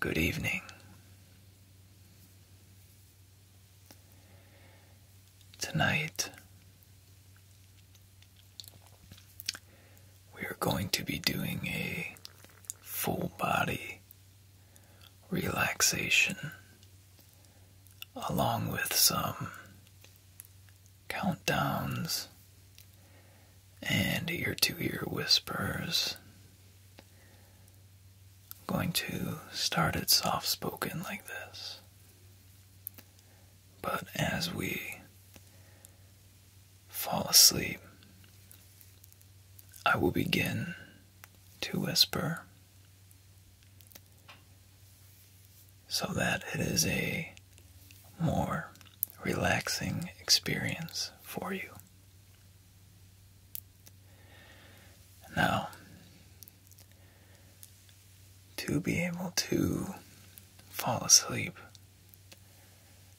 Good evening. Tonight, we are going to be doing a full body relaxation along with some countdowns and ear to ear whispers. going to start it soft spoken like this. But as we fall asleep, I will begin to whisper so that it is a more relaxing experience for you. Now, to be able to fall asleep,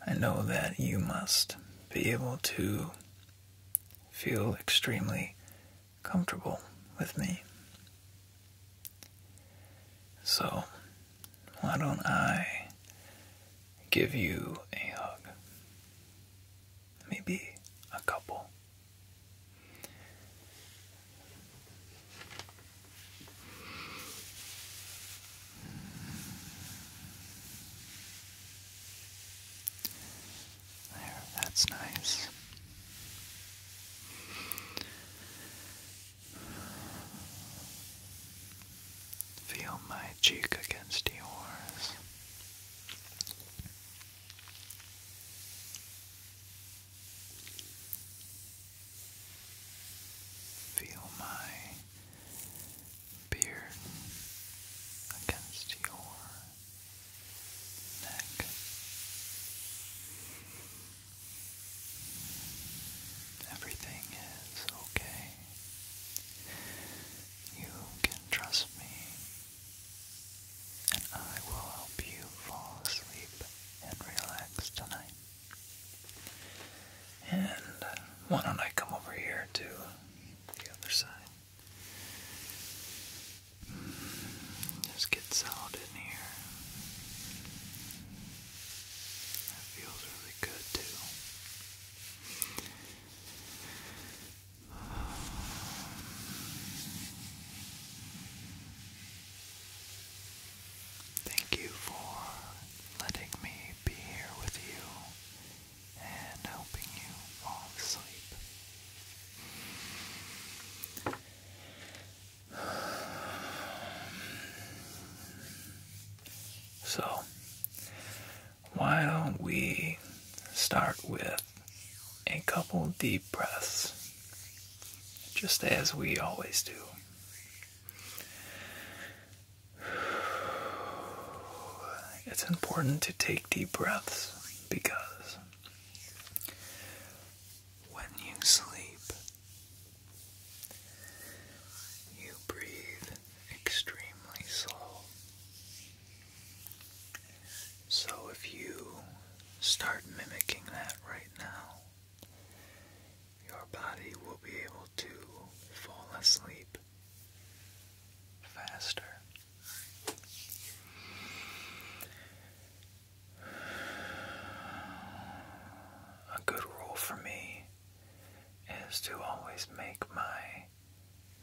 I know that you must be able to feel extremely comfortable with me. So, why don't I give you a hug? Maybe a couple. There, that's nice. Feel my cheek against yours. Feel my beard against your neck. Everything is okay. You can trust me, and I will help you fall asleep and relax tonight. And why don't I come over here to the other side? Hmm, just get settled in here. That feels really good too. Thank you for letting me be here with you and helping you fall asleep. So, why don't we start with a couple deep breaths, just as we always do? It's important to take deep breaths because when you sleep, you breathe extremely slow. So if you start mimicking that right now, your body will be able to fall asleep faster. A good rule for me is to always make my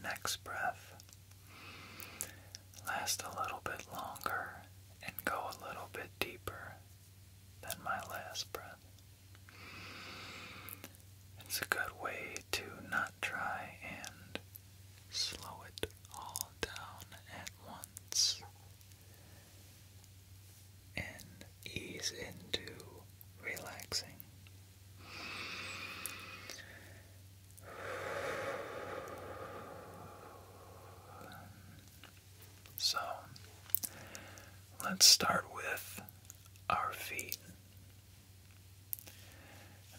next breath last a little bit longer and go a little bit deeper than my last breath. It's a good way to not try and slow it all down at once and ease into relaxing. So let's start with our feet.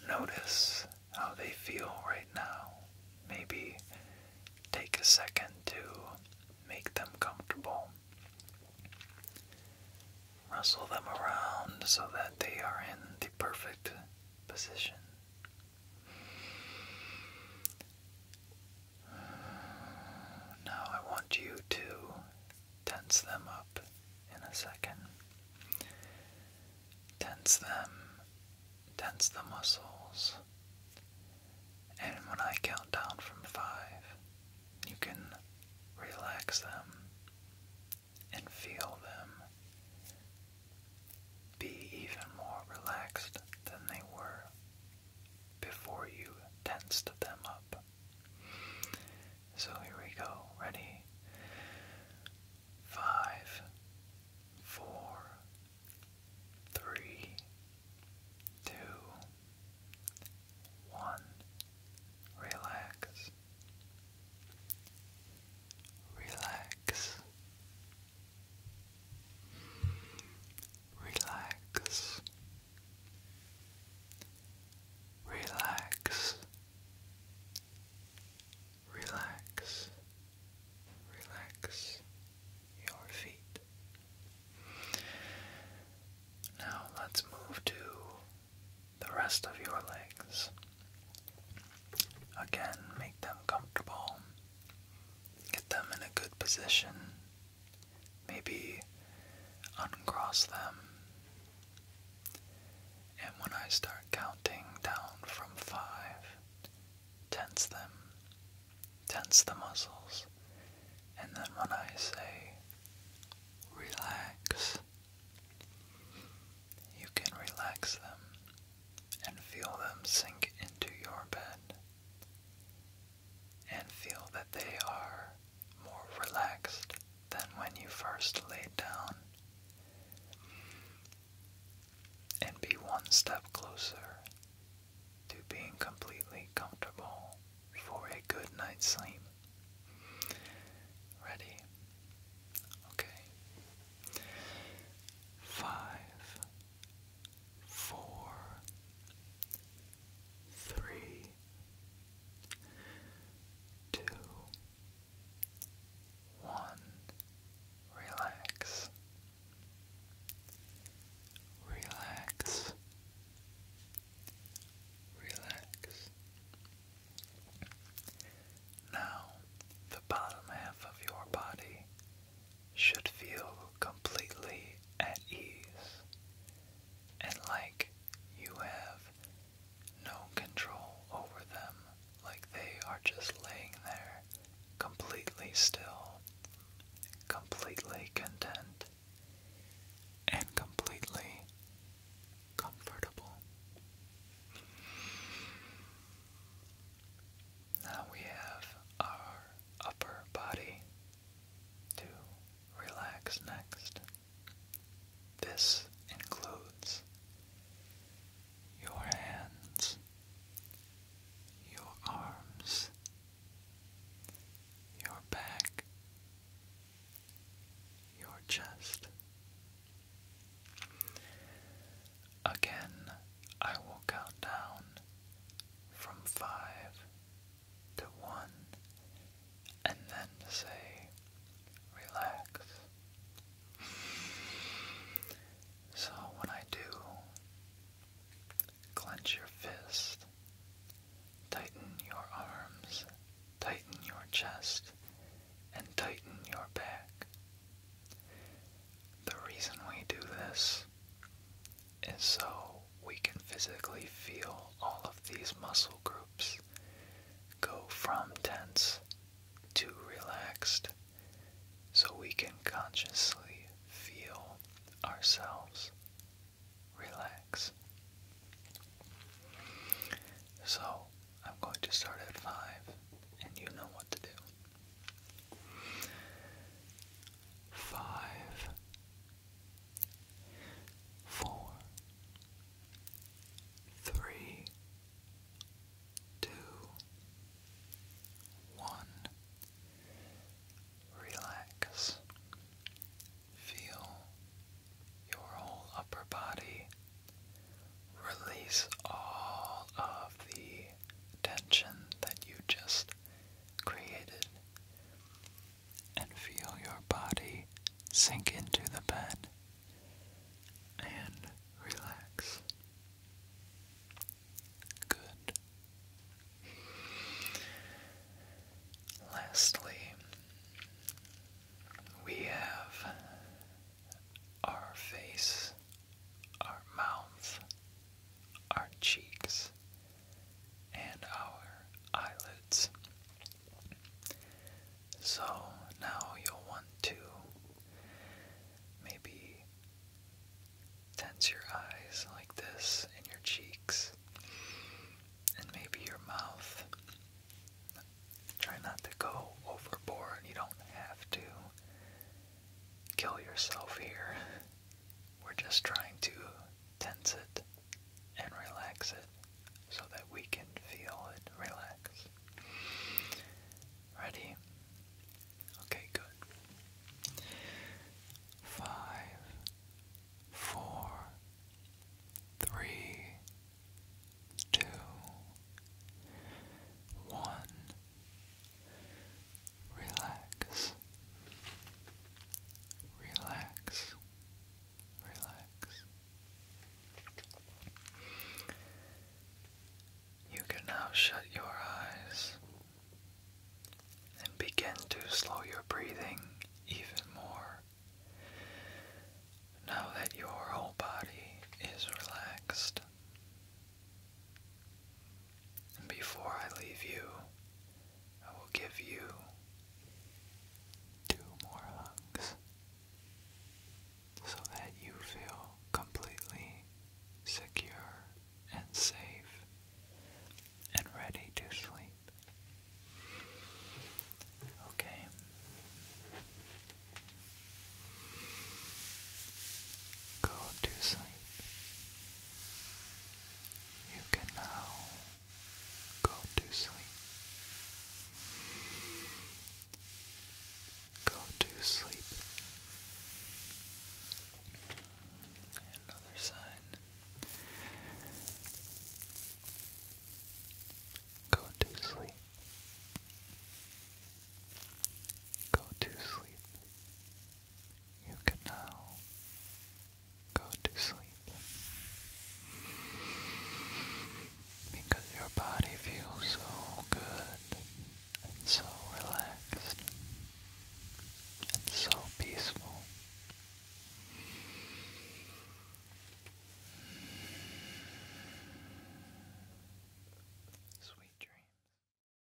Notice how they feel right now. Maybe take a second to make them comfortable. Wrestle them around so that they are in the perfect position. Now I want you to tense them up in a second tense them, tense the muscles. And when I count down from five, you can relax them and feel them be even more relaxed than they were before you tensed them up. So here we go. Ready? five, four, three, two, one. Relax. Relax. Relax. Relax relax, relax your feet. Now let's move to the rest of your legs. Again, make them comfortable. Get them in a good position. Maybe uncross them and when I start counting down from five, tense them, tense the muscles, and then when I say relax, you can relax them and feel them sink into your bed and feel that they are more relaxed than when you first laid down, and be one step closer to being completely comfortable for a good night's sleep. Ready? Okay. Five, four, three, two, one, relax, relax, relax. Now, the bottom half of your body should feel completely at ease and like you have no control over them, like they are just laying there, completely still, completely content, and completely comfortable. Now we have our upper body to relax next. This includes your hands, your arms, your back, your chest. Again, I will count down from five to one and then say relax. So when I do, clench your fist, tighten your arms, tighten your chest, and tighten your back. The reason we do this is so we can physically feel all of these muscle groups go from tense to relaxed so we can consciously feel ourselves relax. So I'm going to start at 5 and you know what to do. 5 four, three, two, one. Relax. Feel your whole upper body. Release all of the tension that you just created and feel your body sink into the bed and relax. Good. Lastly, we have our face, our mouth, our cheeks, and our eyelids. So now you'll want to maybe tense your eyes like this and your cheeks and maybe your mouth. Try not to go overboard. You don't have to kill yourself here. We're just trying to tense it, and relax it so that we can feel it relax. Ready? Okay, good. Five, four, three, two, one relax, relax, relax. You can now shut your eyes and begin to slow your breathing even more. Now that your whole body is relaxed. And before I leave you, I will give you two more hugs so that you feel completely secure and safe and ready to sleep. Okay. Go to sleep. You can now go to sleep. Go to sleep. Another sign. Go to sleep. Go to sleep. You can now go to sleep because your body feels so good and so relaxed and so peaceful. Sweet dreams.